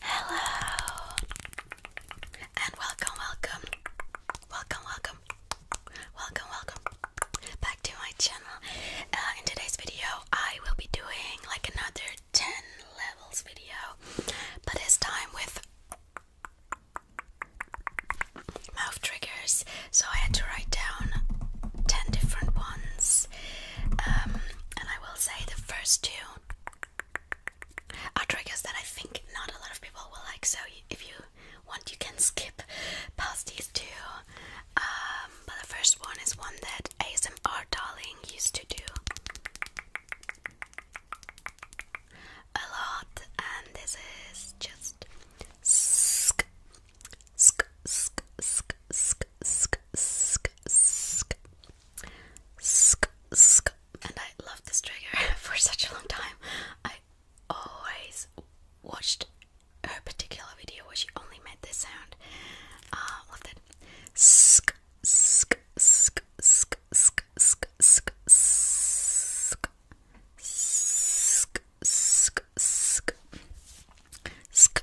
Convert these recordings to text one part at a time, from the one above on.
Hello and welcome, welcome, welcome, welcome, welcome, welcome back to my channel. Uh, in today's video, I will be doing like another 10 levels video, but this time with mouth triggers. So I had to write down 10 different ones um, and I will say the first two are triggers that I think not a lot of people will like. So if you want, you can skip past these two. Um, but the first one is one that ASMR Darling used to do a lot, and this is just sk sk sk sk sk sk and I loved this trigger for such a long time. I always watched her particular video where she only made this sound. Uh loved it. Sk sk sk sk sk sk sk sk sk sk sk sk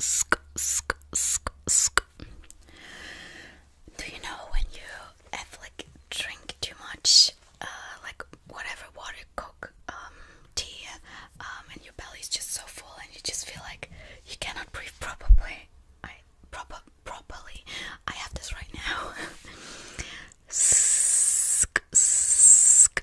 sk, sk, sk, sk, sk. Do you know when you have like drink too much, uh, like whatever water, coke, um, tea, um, and your belly is just so full and you just feel like you cannot breathe properly? I proper properly. I have this right now. sk, sk,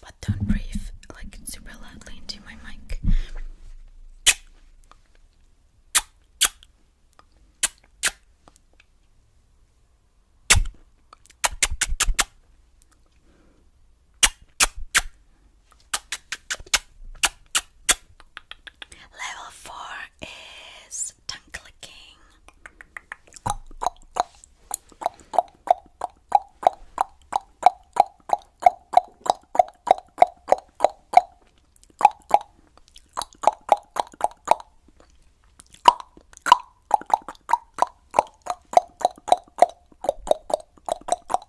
but don't breathe like super loudly into my mic. Level four is tongue clicking.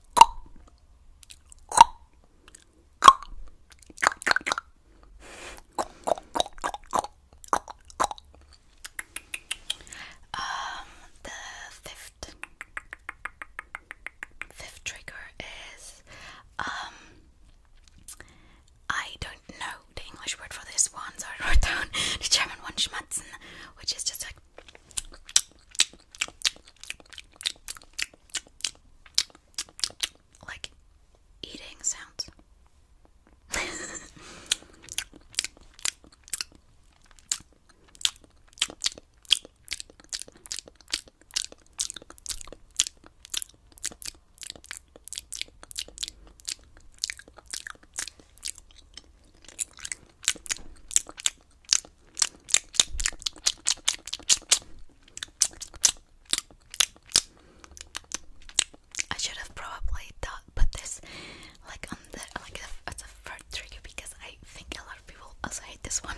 Um, the fifth fifth trigger is um I don't know the English word for this one, so I wrote the German one schmatzen, which is just like like eating sounds. I should have probably thought put this like on the like a, as a third trigger because I think a lot of people also hate this one.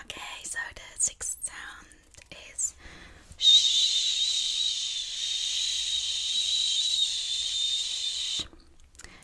Okay, so the sixth sound is shh.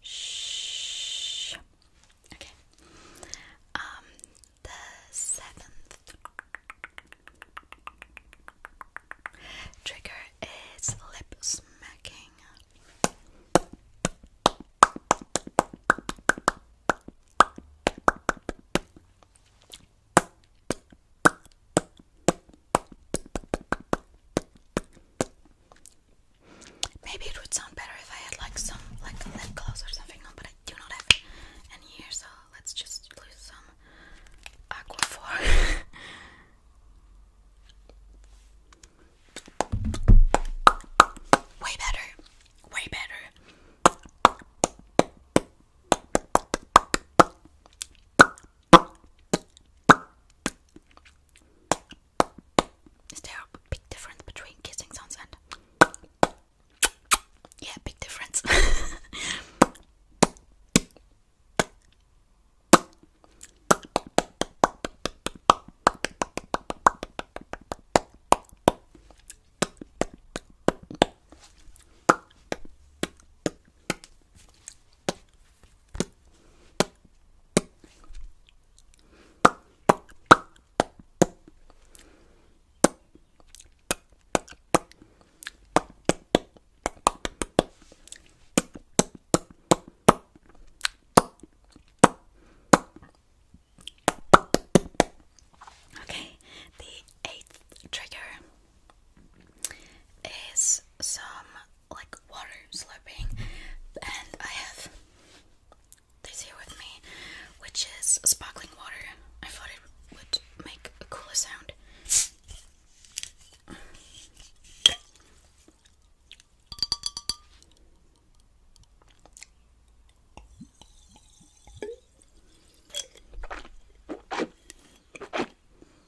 Shh. Okay. Um, the seventh trigger is lip smacking. Maybe it would sound better if I had like some like a lip gloss or something but I do not have any here, so let's just use some Aquaphor. way better, way better. Is there a big difference between kissing sounds and. Yeah, big difference. Okay, the eighth trigger is some like water slurping, and I have this here with me, which is sparkling water. I thought it would make a cooler sound.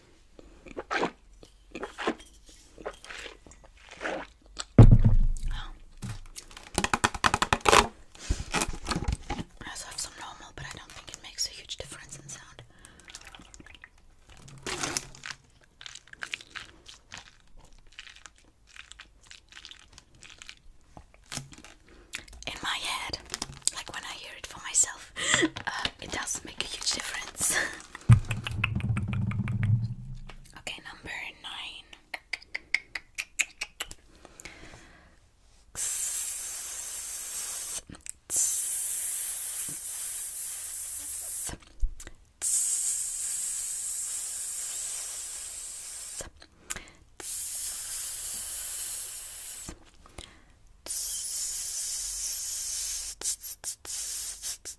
I also have some normal, but I don't think it makes a huge difference in sound. In my head, like when I hear it for myself, uh, it does make a huge difference. Okay, number nine.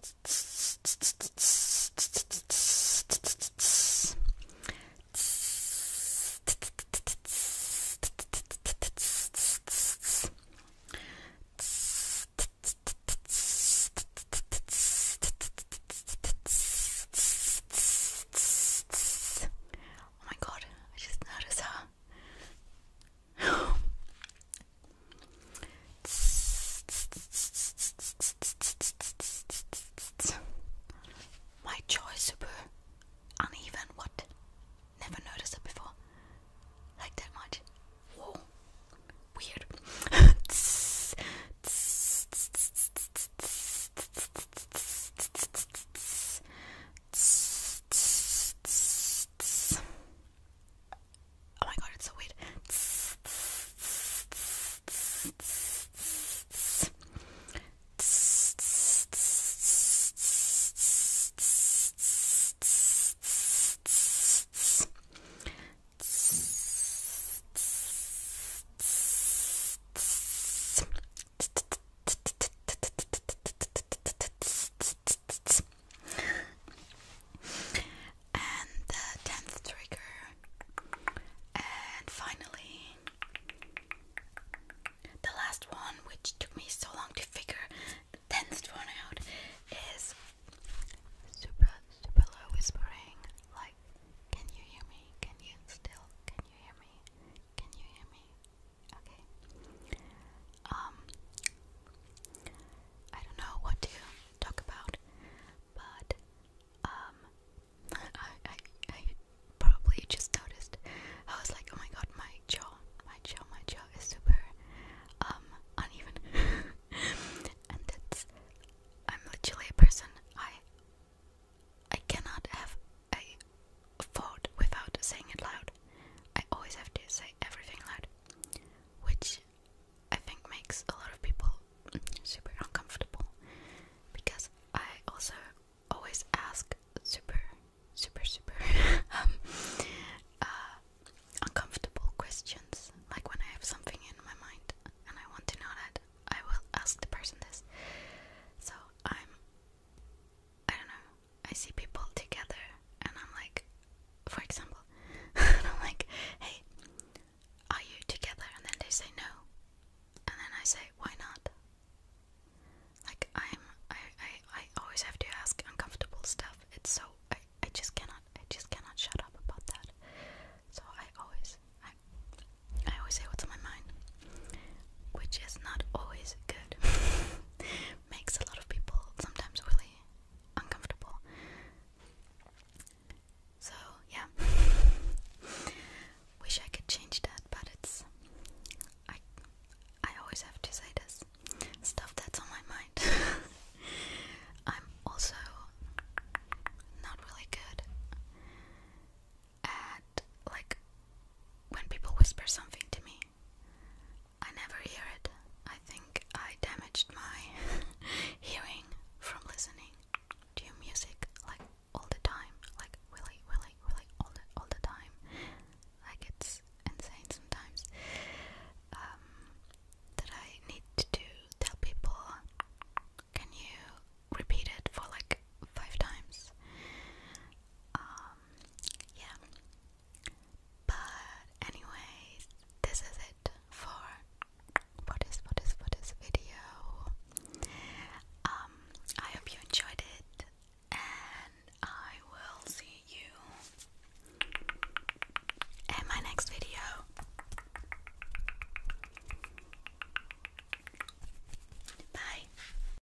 Oh my god, I just noticed her. My choice, is super uneven. What? Never noticed it before. Like that much. Whoa. Weird. Oh my god, it's so weird. And the tenth trigger. And finally, the last one, which took me so long to figure the tenth one out, is super, super low whispering. Like, can you hear me? Can you still? Can you hear me? Can you hear me? Okay. Um I don't know what to talk about, but um I I I probably just noticed I was like, oh my god, my jaw, my jaw, my jaw is super um uneven. and that's I'm literally a person I I cannot have a thought without saying it loud. I always have to say everything loud, which I think makes a lot of people super uncomfortable because I also always ask super, super, super um, uh, uncomfortable questions. Like when I have something in my mind and I want to know that, I will ask the person this. So I'm I don't know, I see people together and I'm like, for example, and I'm like, hey, are you together? And then they say no. And then I say, why not? Like I'm I, I, I always have to ask uncomfortable stuff. It's so I, I just cannot I just cannot shut up about that. So I always I I always say what's on my mind. Which is not always good. makes a lot of people sometimes really uncomfortable. So, yeah. Wish I could change that, but it's I I always have to say this stuff that's on my mind. I'm also not really good at like when people whisper something to me I never hear it. I think I damaged my hearing from listening to music like all the time, like really, really, really all the all the time. Like it's insane sometimes. Um, that I need to tell people, can you repeat it for like five times? Um, yeah. But anyways, this is it for for this for this for this video. Um, I hope you enjoyed it, and I will see you in my next video. Bye.